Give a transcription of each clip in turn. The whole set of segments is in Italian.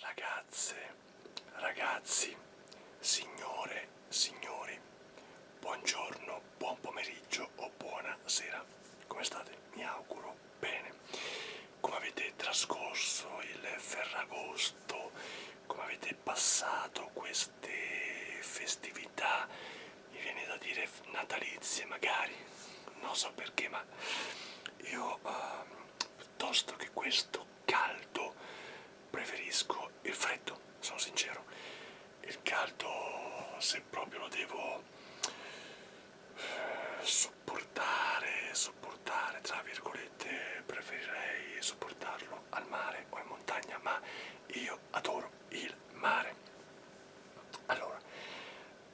Ragazze, ragazzi, signore, signori, buongiorno, buon pomeriggio o buonasera. Come state? Mi auguro bene. Come avete trascorso il Ferragosto? Come avete passato queste festività? Mi viene da dire natalizie magari, non so perché, ma io... Uh, piuttosto che questo caldo preferisco il freddo, sono sincero. Il caldo se proprio lo devo eh, sopportare, sopportare tra virgolette, preferirei sopportarlo al mare o in montagna, ma io adoro il mare. Allora,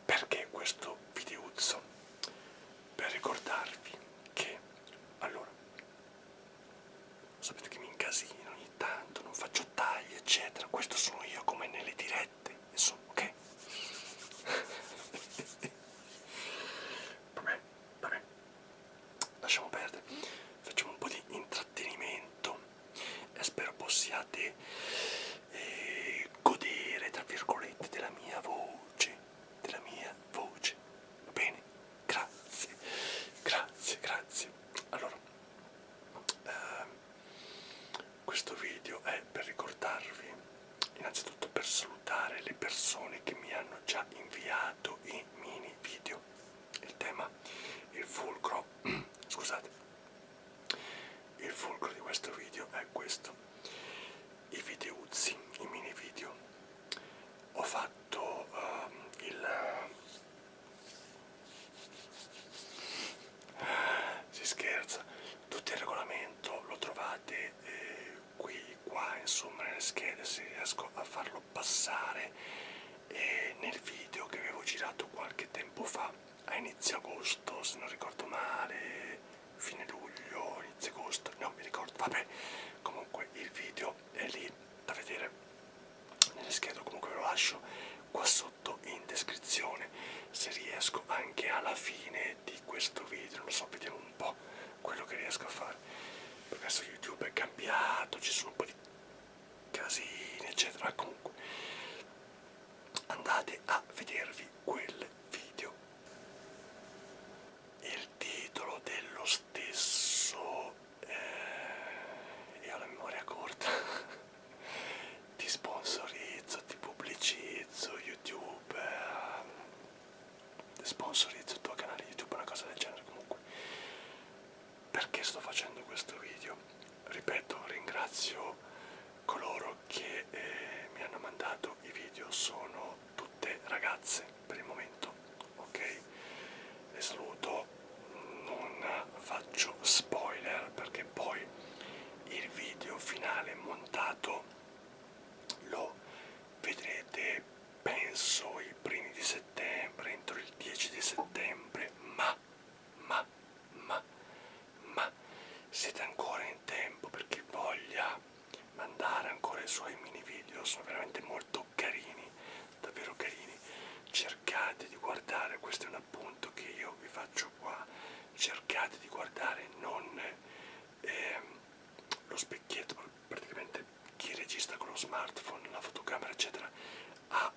perché questo videuzzo? Per ricordarvi che, allora, sapete che mi incasino ogni tanto, non faccio tagli, eccetera. Questo sono io come nelle dirette, insomma, ok? vabbè, vabbè, lasciamo perdere. Facciamo un po' di intrattenimento e spero possiate eh, godere tra virgolette della mia voce della mia voce va bene grazie grazie grazie allora ehm, questo video è per ricordarvi innanzitutto per salutare le persone che mi hanno già inviato i mini video il tema il fulcro scusate il fulcro di questo video è questo, i videuzzi, i mini video. Ho fatto uh, il... si scherza, tutto il regolamento lo trovate eh, qui, qua, insomma nelle schede se riesco a farlo passare eh, nel video che avevo girato qualche tempo fa a inizio agosto se non ricordo male fine luglio inizio agosto non mi ricordo vabbè comunque il video è lì da vedere nelle schede comunque ve lo lascio qua sotto in descrizione se riesco anche alla fine di questo video non lo so vediamo un po' quello che riesco a fare perché adesso youtube è cambiato ci sono un po' di casini eccetera comunque andate a vedervi quel video il titolo dello stesso eh, io ho la memoria corta ti sponsorizzo ti pubblicizzo youtube eh, sponsorizzo il tuo canale youtube una cosa del genere comunque perché sto facendo questo video ripeto ringrazio coloro che eh, mi hanno mandato i video sono tutte ragazze per il momento ok le saluto non faccio spoiler perché poi il video finale montato lo vedrete penso i primi di settembre entro il 10 di settembre ma ma, ma, ma, ma siete ancora in tempo per chi voglia mandare ancora i suoi mini video, sono veramente molto carini, davvero carini. Cercate di guardare, questo è un appunto che io vi faccio qua, cercate di guardare non eh, lo specchietto, praticamente chi registra con lo smartphone, la fotocamera eccetera ha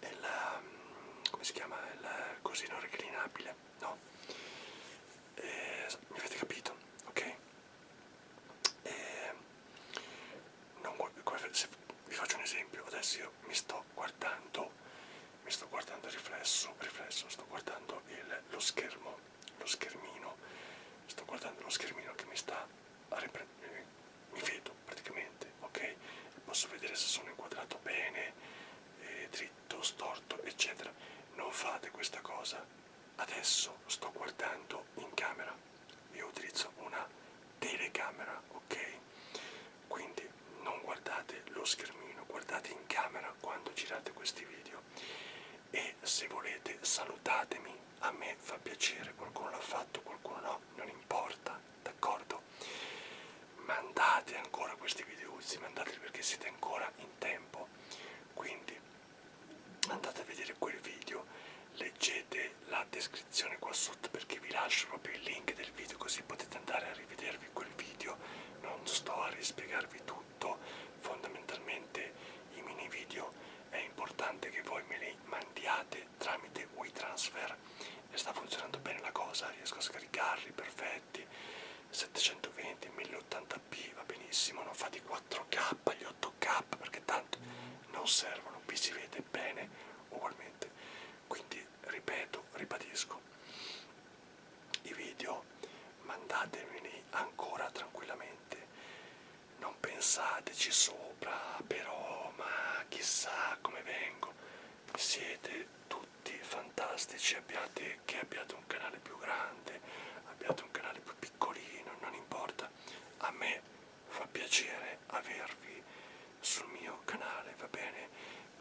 il, um, come si chiama, il cosino reclinabile, no? Eh, mi avete capito, ok? Eh, non, se vi faccio un esempio, adesso io mi sto guardando, mi sto guardando il riflesso, riflesso sto guardando il, lo schermo, lo schermino, sto guardando lo schermino che mi sta eh, mi vedo praticamente, ok? E posso vedere se sono inquadrato bene, eh, dritto, storto, eccetera. Non fate questa cosa. Adesso sto guardando in camera. Io utilizzo una telecamera, ok? Quindi non guardate lo schermino, guardate in camera quando girate questi video e se volete salutatemi, a me fa piacere, qualcuno l'ha fatto, qualcuno no, non importa, d'accordo? Mandate ancora questi videozzi, mandateli perché siete ancora in tempo, quindi andate a vedere quel video, leggete la descrizione qua sotto perché vi lascio proprio il link del video così potete andare a rivedervi quel video, non sto a rispiegarvi tutto tutto fondamentalmente i mini video è importante che voi me li mandiate tramite WeTransfer e sta funzionando bene la cosa riesco a scaricarli perfetti 720 1080p va benissimo non fate i 4k gli 8k perché tanto non servono qui si vede bene ugualmente quindi ripeto ribadisco i video mandatemeli ancora tranquillamente non pensateci sopra però ma chissà come vengo siete tutti fantastici abbiate che abbiate un canale più grande abbiate un canale più piccolino non importa a me fa piacere avervi sul mio canale va bene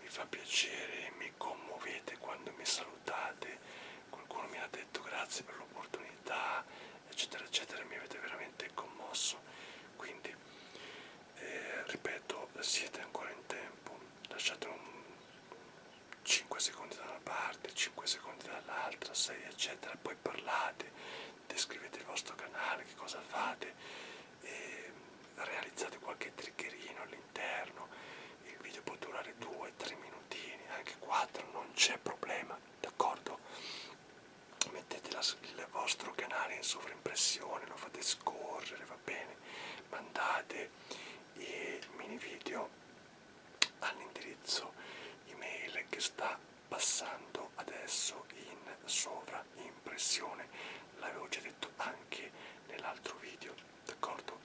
mi fa piacere mi commuovete quando mi salutate qualcuno mi ha detto grazie per l'opportunità, eccetera, eccetera, mi avete veramente commosso. Quindi, eh, ripeto, siete ancora in tempo, lasciate un 5 secondi da una parte, 5 secondi dall'altra, 6 eccetera, poi parlate, descrivete il vostro canale, che cosa fate, e realizzate qualche triggerino all'interno il video può durare 2-3 minutini, anche 4, non c'è problema, d'accordo? Mettete la, il vostro canale in sovraimpressione, lo fate scorrere, va bene, mandate i mini video all'indirizzo email che sta passando adesso in sovraimpressione, l'avevo già detto anche nell'altro video d'accordo?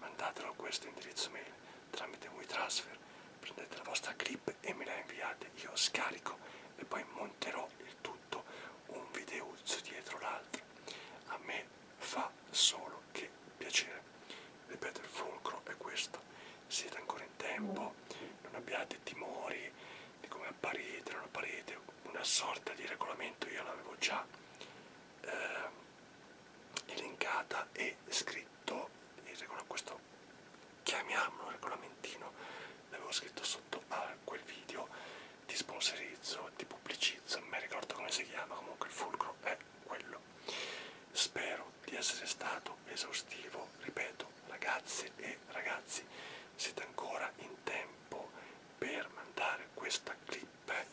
Mandatelo a questo indirizzo mail tramite WeTransfer, prendete la vostra clip e me la inviate, io scarico e poi monterò il tutto un videuzzo dietro l'altro. A me fa solo che piacere. Ripeto, il fulcro è questo. Siete ancora in tempo, non abbiate timori di come apparite, non apparite, una sorta di regolamento io l'avevo già. Eh, elencata e scritto il questo chiamiamolo regolamentino l'avevo scritto sotto a quel video ti sponsorizzo ti pubblicizzo non mi ricordo come si chiama comunque il fulcro è quello spero di essere stato esaustivo ripeto ragazze e ragazzi siete ancora in tempo per mandare questa clip clip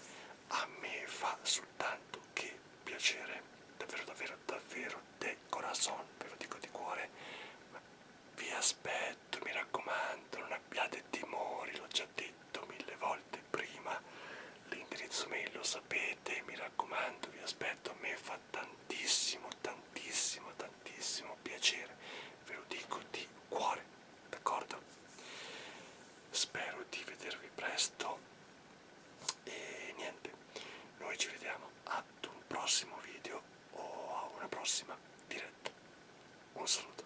a me fa soltanto che piacere davvero davvero davvero de corazon ve lo dico di cuore ma vi aspetto mi raccomando non abbiate timori l'ho già detto mille volte prima l'indirizzo mail lo sapete mi raccomando vi aspetto a me fa tantissimo tantissimo tantissimo piacere ve lo dico di cuore d'accordo? Spero di vedervi presto e niente, noi ci vediamo ad un prossimo video o a una prossima diretta. Un saluto.